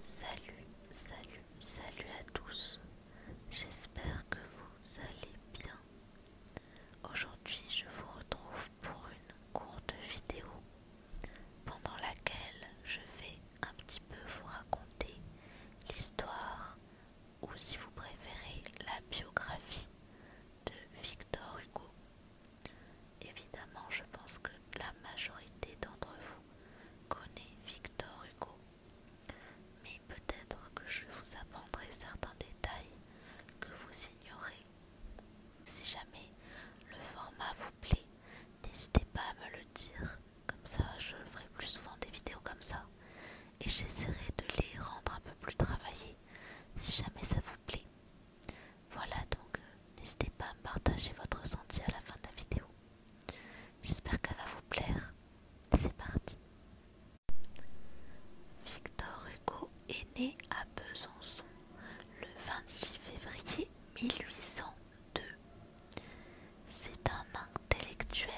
Salut, salut, salut à tous. J'espère que vous allez bien. Aujourd'hui, je vous retrouve pour une courte vidéo pendant laquelle je vais un petit peu vous raconter l'histoire ou si vous préférez la biographie de Victor Hugo. Évidemment, je pense que la majorité d'entre vous connaît Victor Hugo, mais peut-être que je vous apprendrai certains détails que vous ignorez. Si jamais le format vous plaît, n'hésitez pas à me le dire, comme ça je ferai plus souvent des vidéos comme ça et j'essaierai de les rendre un peu plus travaillées si jamais ça vous plaît. Voilà donc euh, N'hésitez pas à partager votre ressenti à la fin de la vidéo. J'espère qu'elle va vous plaire. C'est parti. Victor Hugo est né à Besançon le 26 février 1802. C'est un intellectuel,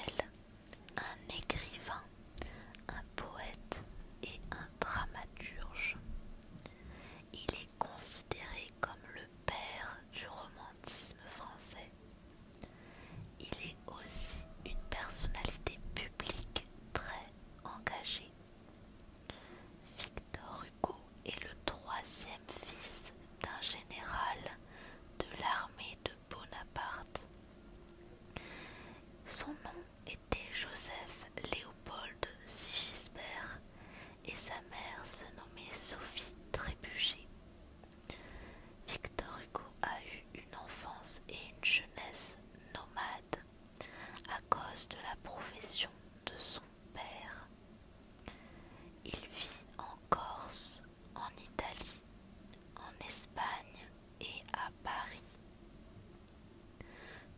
un écrivain, un poète et un dramaturge. Il considéré comme le père du romantisme français. Il est aussi une personnalité publique très engagée. Victor Hugo est le troisième fils d'un général de l'armée de Bonaparte. Son nom était Joseph Léopold Sigisbert et sa mère se nommait Sophie Trébuchet. Victor Hugo a eu une enfance et une jeunesse nomades à cause de la profession de son père. Il vit en Corse, en Italie, en Espagne et à Paris.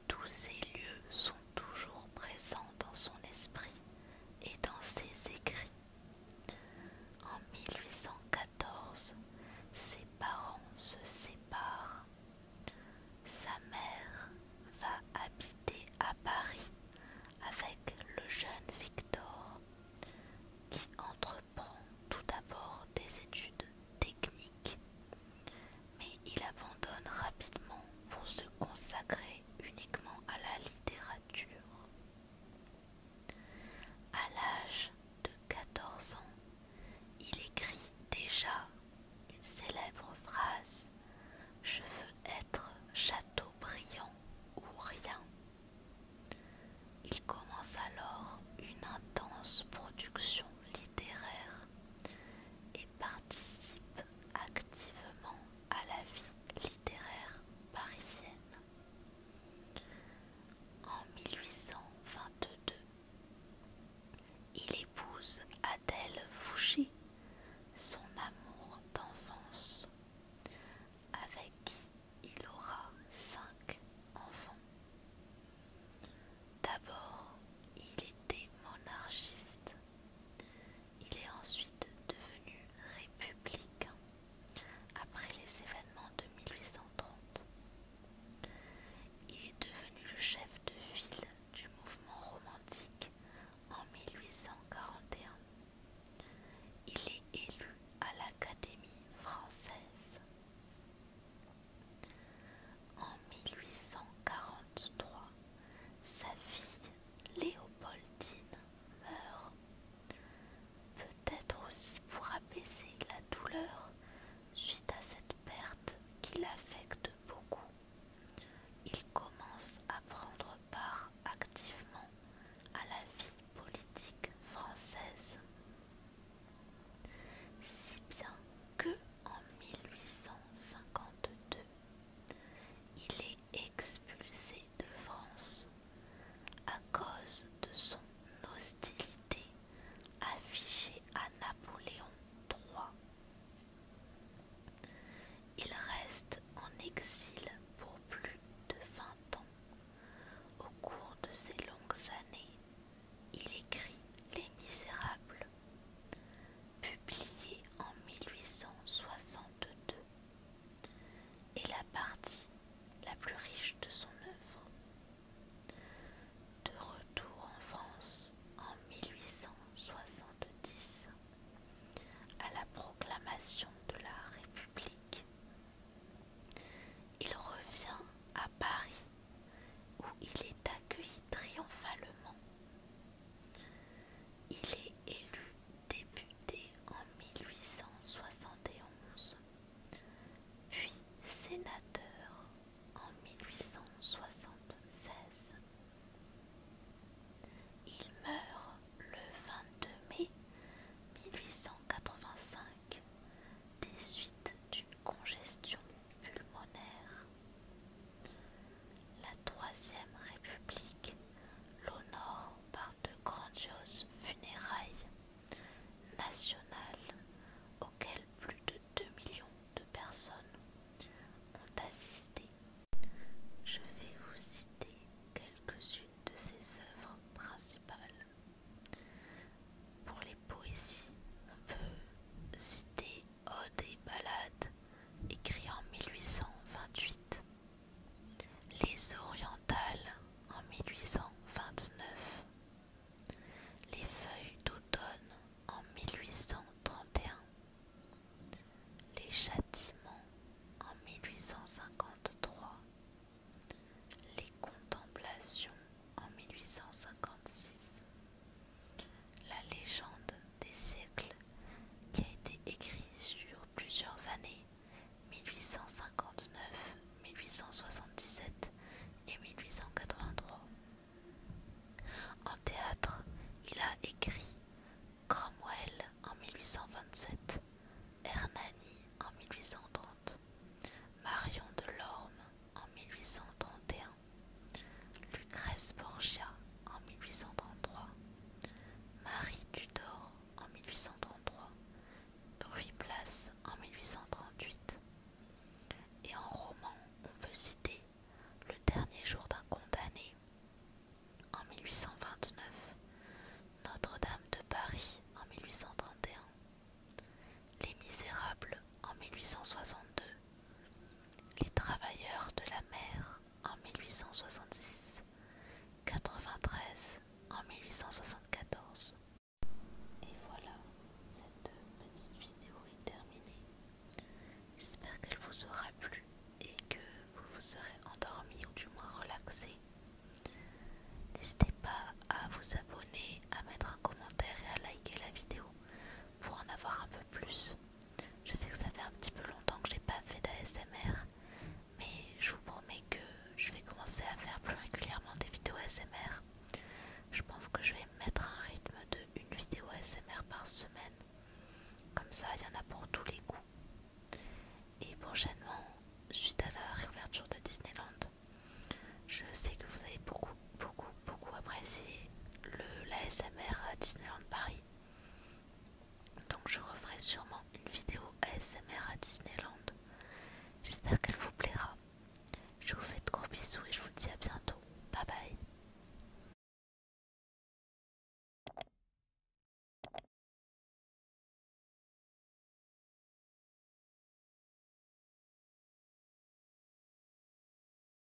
Tous ces lieux sont toujours présent dans son esprit et dans ses écrits. En 1814, ses parents se séparent. Sa mère va habiter à Paris avec le jeune Victor, qui entreprend tout d'abord des études techniques, il abandonne rapidement pour se consacrer uniquement à la littérature. À l'âge de 14 ans, il écrit déjà une célèbre phrase Je veux être brillant ou rien. Il commence alors une intense production littéraire et participe activement à la vie littéraire parisienne. En 1822, il épouse Adèle Fouché, son amour d'enfance, avec qui il aura cinq enfants. D'abord, il était monarchiste. Il est ensuite devenu républicain après les événements de 1830. Il est devenu le chef de ville du mouvement romantique en 1841. Il est élu à l'Académie française. En 1843, sa fille Léopoldine meurt, peut-être aussi pour apaiser la douleur suite à cette perte qui l'affecte beaucoup. Il commence à prendre part activement à la vie politique française. Si bien que en 1852, il est expulsé de France à cause de son hostilité affichée à Napoléon III. Il reste en exil pour plus de vingt ans. Au cours de ces longues années, il écrit Les Misérables publié en 1862, est la partie la plus riche de son œuvre. De retour en France en 1870, à la proclamation de la République, il revient à Paris où il est accueilli triomphalement il est élu député en 1871, puis sénateur en 1876. Il meurt le 22 mai 1885 des suites d'une congestion pulmonaire. La Troisième République l'honore par de grandioses funérailles nationales auxquelles plus de 2 millions de personnes ont assisté. Je vais vous citer quelques-unes de ses œuvres principales. Pour les poésies, on peut citer Ode oh, et Ballade, écrit en 1828. Les Orientales, en 1829. Les Feuilles d'automne, en 1831. Les Châtiments, en 1853. Les Contemplations, en 1856. La légende des siècles, qui a été écrite sur plusieurs années, 1859, 1877 et 1883. En théâtre, il a écrit Cromwell en 1827, Hernani en 1830, Marion de Lorme en 1831 Lucrèce Borgia en 1833, Marie Tudor en 1833, Ruy Place en 1838. Et en roman, on peut citer Le dernier jour d'un condamné en 1829, Notre-Dame de Paris en 1831, Les Misérables en 1862 les travailleurs de la mer en 1866, 93 en 1874. Et voilà, cette petite vidéo est terminée. J'espère qu'elle vous aura plu et que vous vous serez endormi ou du moins relaxé. N'hésitez pas à vous abonner, à mettre un commentaire et à liker la vidéo pour en avoir un peu plus. Je sais que ça fait un petit peu longtemps que j'ai pas fait d'ASMR, mais je vous promets que je vais commencer à faire plus régulièrement des vidéos ASMR. Je pense que je vais mettre un rythme de une vidéo ASMR par semaine. Comme ça, il y en a pour tous les goûts. Et prochainement, suite à la réouverture de Disneyland, je sais que vous avez beaucoup, beaucoup beaucoup apprécié le, l'ASMR à Disneyland Paris. Donc je referai sûrement une vidéo ASMR à Disneyland. J'espère qu'elle vous plaira. Je vous fais de gros bisous et je vous dis à bientôt. Bye bye